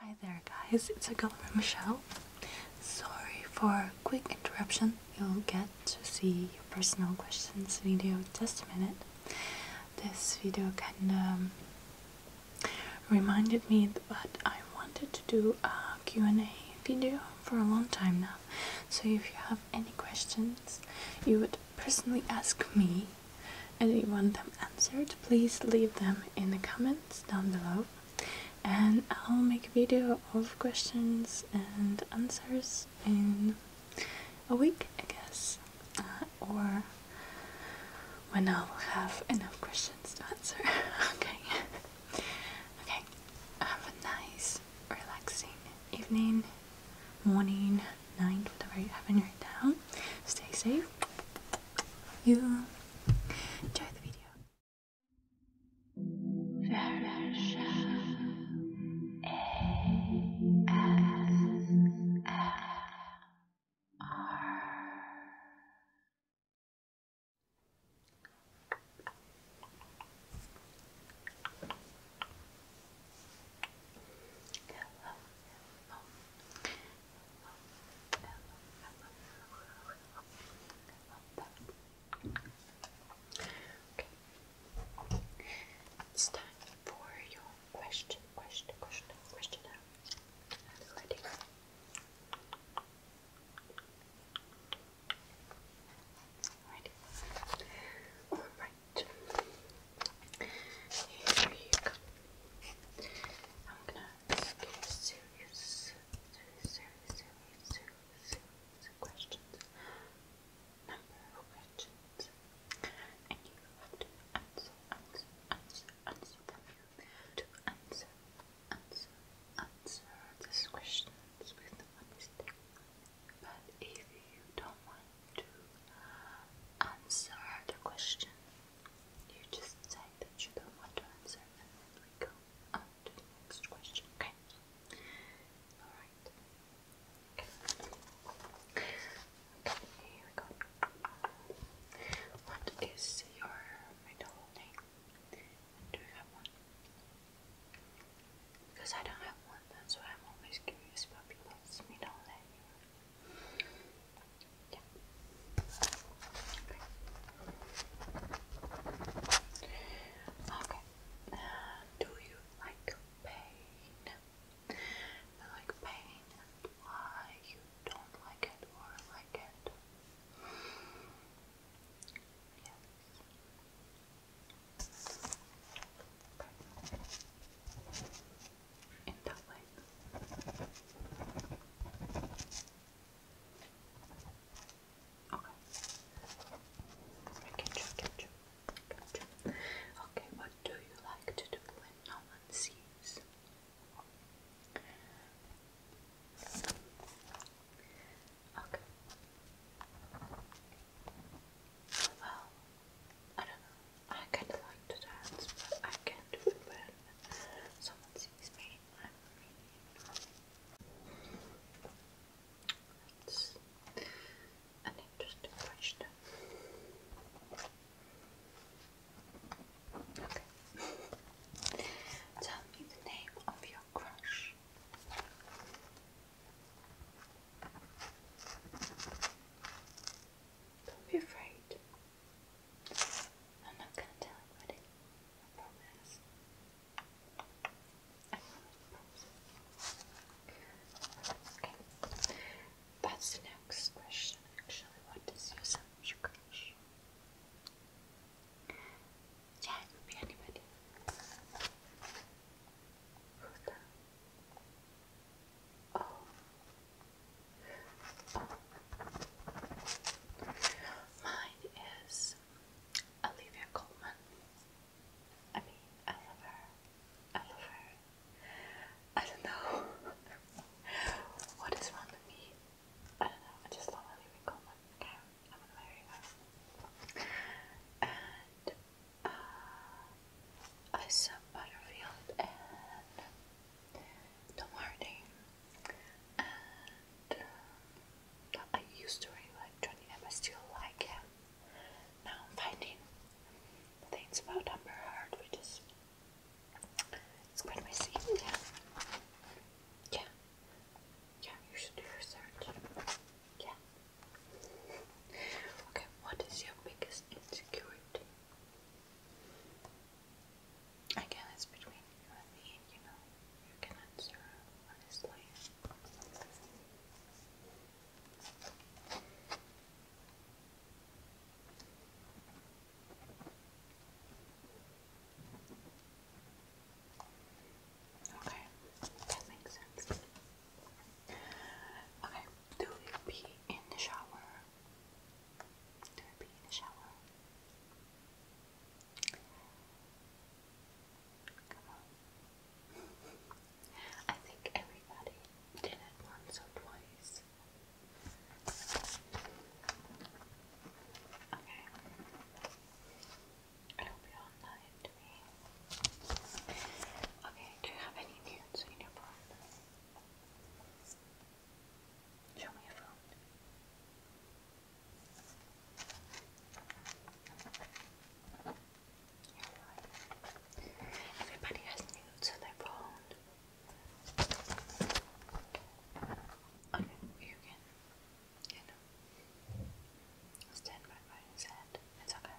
Hi there guys, it's a girl Michelle. Sorry for quick interruption. You'll get to see your personal questions video just a minute. This video kinda um, reminded me that I wanted to do a Q&A video for a long time now. So if you have any questions you would personally ask me, and you want them answered, please leave them in the comments down below and I'll make a video of questions and answers in a week, I guess, uh, or when I'll have enough questions to answer. okay, okay. Have a nice, relaxing evening, morning, night, whatever you have in your town. Stay safe you enjoy the video. Hello. Okay. It's time for your question, question, question, question now. ready. Ready. Here you go. I'm gonna let's get serious, serious, serious, serious, serious, serious Number of And you have to answer, answer, answer, answer them. To answer, answer, answer these questions with honesty. But if you don't want to answer the questions, you just say that you don't want to answer, and we go on to the next question. Okay. All right. okay. Here we go. What is your middle name? Do you have one? Because I don't have one, that's why I'm always curious about people's middle name. Yeah. Okay. Uh, do you like pain? like pain why you don't like it or like it? Yes in Okay. catch you, catch you, catch you. Okay, what do you like to do when no one sees? Okay. Well, I don't know. I kind of like to dance, but I can't do it when someone sees me. I'm That's an interesting Okay. Tell me the name of your crush. Don't be afraid. I'm not gonna tell anybody. I promise. Okay. That's the next question actually. What does your sandwich crush? Yeah, it could be anybody. Who's that? Oh. Mine is Olivia Colman. I mean, I love her. I love her. I don't know what is wrong with me. I don't know. I just love Olivia Colman. I'm gonna marry her. And uh, Butterfield and Tom Hardy, and uh, I used to like Johnny Depp. still like him. Now I'm finding things about Amber Heard, which is it's quite messy. Yeah, yeah, yeah. You should do research. Yeah. Okay. What is your biggest insecurity? Again, it's between you and me, you know. You can answer honestly. Okay, that makes sense. Okay, do you pee in the shower? Do I pee in the shower? Come on. I think everybody did it once or twice. Okay. It'll be all night to me. Okay, do you have any nudes in your apartment? Show me your phone. Everybody has nudes on their phone. Okay, you can, you know, stand right by his head. It's okay.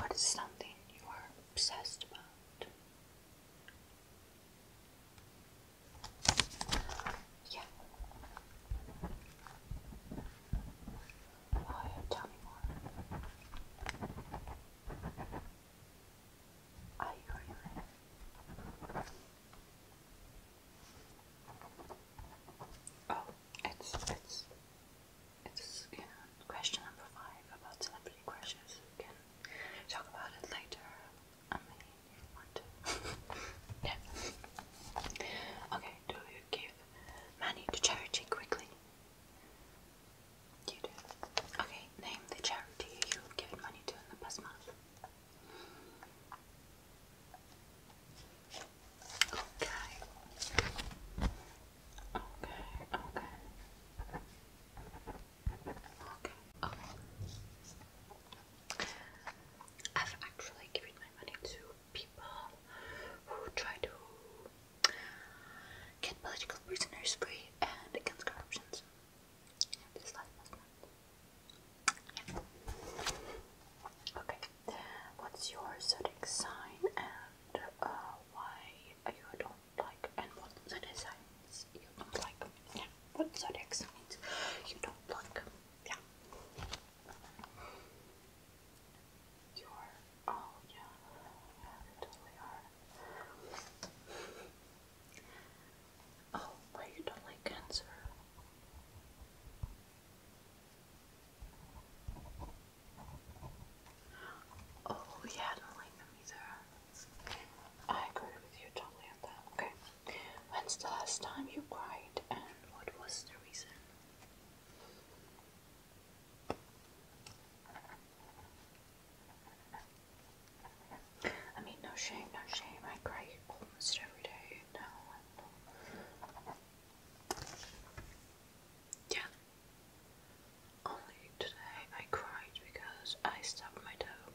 What is something you are obsessed about? Yeah. Oh, tell me more. Oh, it's it's it's you question number five about celebrity crushes. We talk about it later. I mean, if you want to. yeah. Okay, do you give money to charity quickly? You do. Okay, name the charity you've given money to in the past month. Okay. Okay, okay. Okay, okay. I've actually given my money to people who try to get political prisoners free and against corruptions. Okay, what's your zodiac sign and uh, why you don't like and what the designs you don't like. Yeah, what the you don't like. Yeah. You are. Oh, yeah. yeah totally are. Oh, why you don't like cancer? Oh, yeah, don't like them either. I agree with you totally on that. Okay. When's the last time you cried and what was the reason? I mean, no shame, no shame. I cry almost every day now. Um, yeah, only today I cried because I stubbed my toe.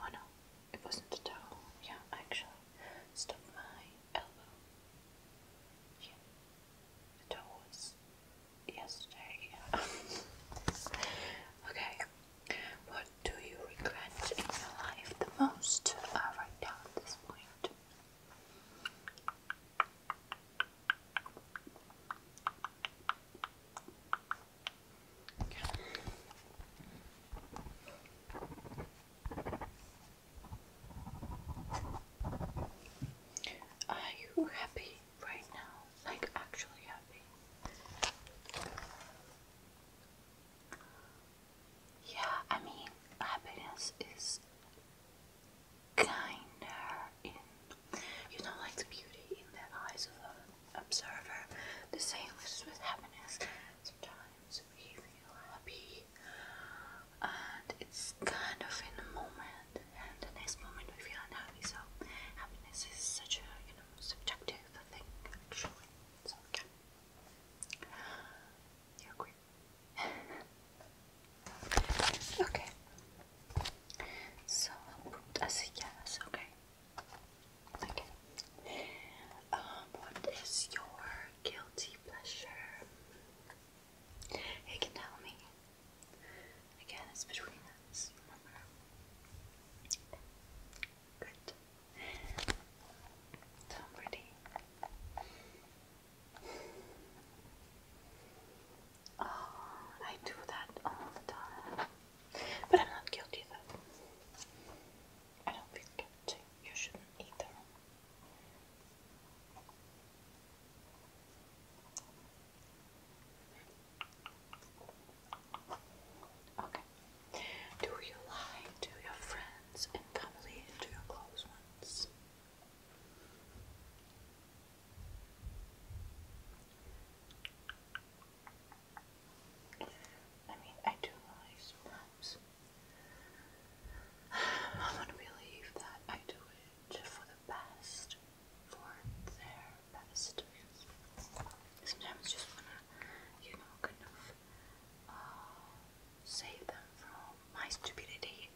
Oh no, it wasn't the toe. Yeah, actually, stubbed my elbow. the toe was yesterday. okay, what do you regret in your life the most? I'll uh, write down this point. Are you happy right now? Like, actually happy? Yeah, I mean, happiness is kinder you know, like the beauty in the eyes of an observer. The same is with happiness. Sometimes we feel happy and it's kind of in the moment, and the next moment we feel unhappy. So, happiness is such a, you know, subjective thing, actually. So, yeah. agree? okay. So I'll put as okay. Okay. Um, what is your guilty pleasure? You can tell me. Again, it's between us, Good. So pretty. Oh, I do that all the time. But I'm not guilty though. I don't feel guilty. You shouldn't either. Okay. Do you lie to your friends? friends and family and your close ones. I mean, I do realize sometimes I want to believe that I do it for the best, for their best. Sometimes just wanna, you know, kind of uh, save them from my stupidity.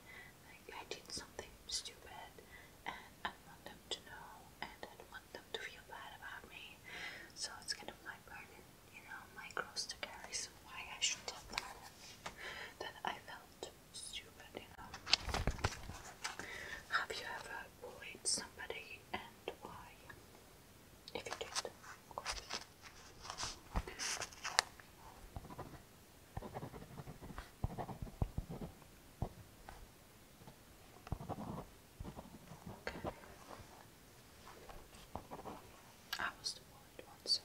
I did something stupid, and I want them to know, and I want them to feel bad about me. So it's kind of my burden, you know, my cross to carry. So why I should tell them that I felt stupid, you know. Have you ever bullied somebody, and why? If you did, of course. I was the worried one, so.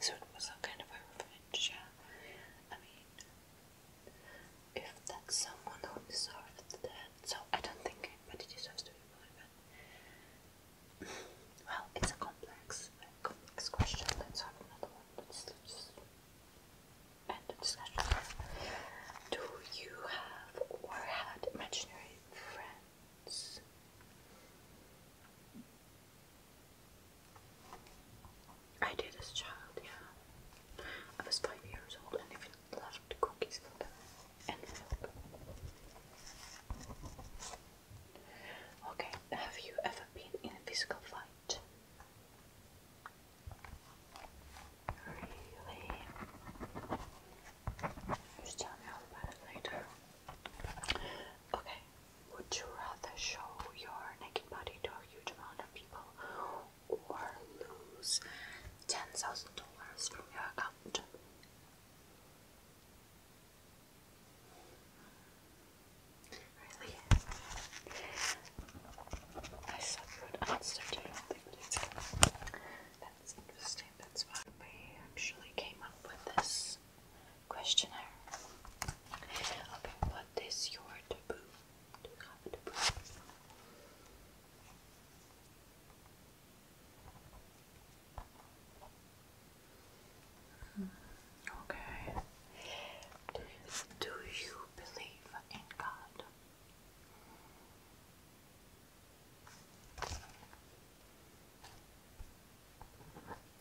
So it was a kind of a revenge, yeah. I mean, if that's someone who deserved that. So I don't think anybody deserves to be bullied. Well, it's a complex, complex question. Let's have another one. Let's just end the discussion. Do you have or had imaginary friends? I did as a child, yeah. I was five years old and even left cookies Okay, have you ever been in a physical fight? Really? Just tell me all about it later. Okay, would you rather show your naked body to a huge amount of people or lose ten thousand dollars from your account. Really? I saw good answer to nothing. That's interesting. That's why we actually came up with this questionnaire. Okay, what is your taboo? to Okay. Do you believe in God?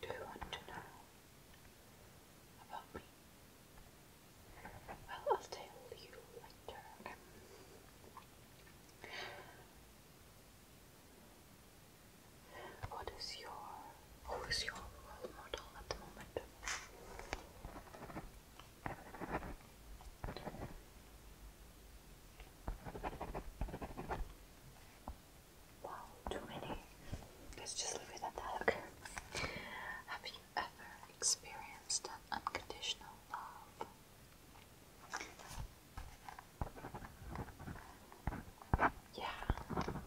Do want to know about me? Well, I'll tell you later. What is your who is your role model at the moment? Wow, too many. Let's just leave it at that, okay? Have ever experienced unconditional love. Yeah,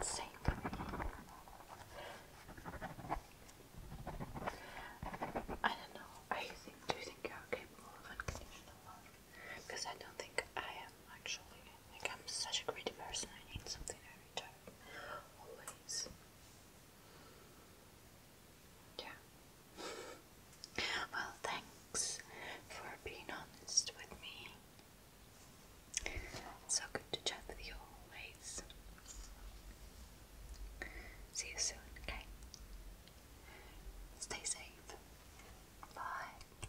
same I don't know. Are think? Do you think you're capable of unconditional love? Because I don't think I am actually. Like I'm such a greedy person. I need something every time, always. Yeah. well, thanks for being honest with me. so good to chat with you always. See you soon, okay? Stay safe. Bye.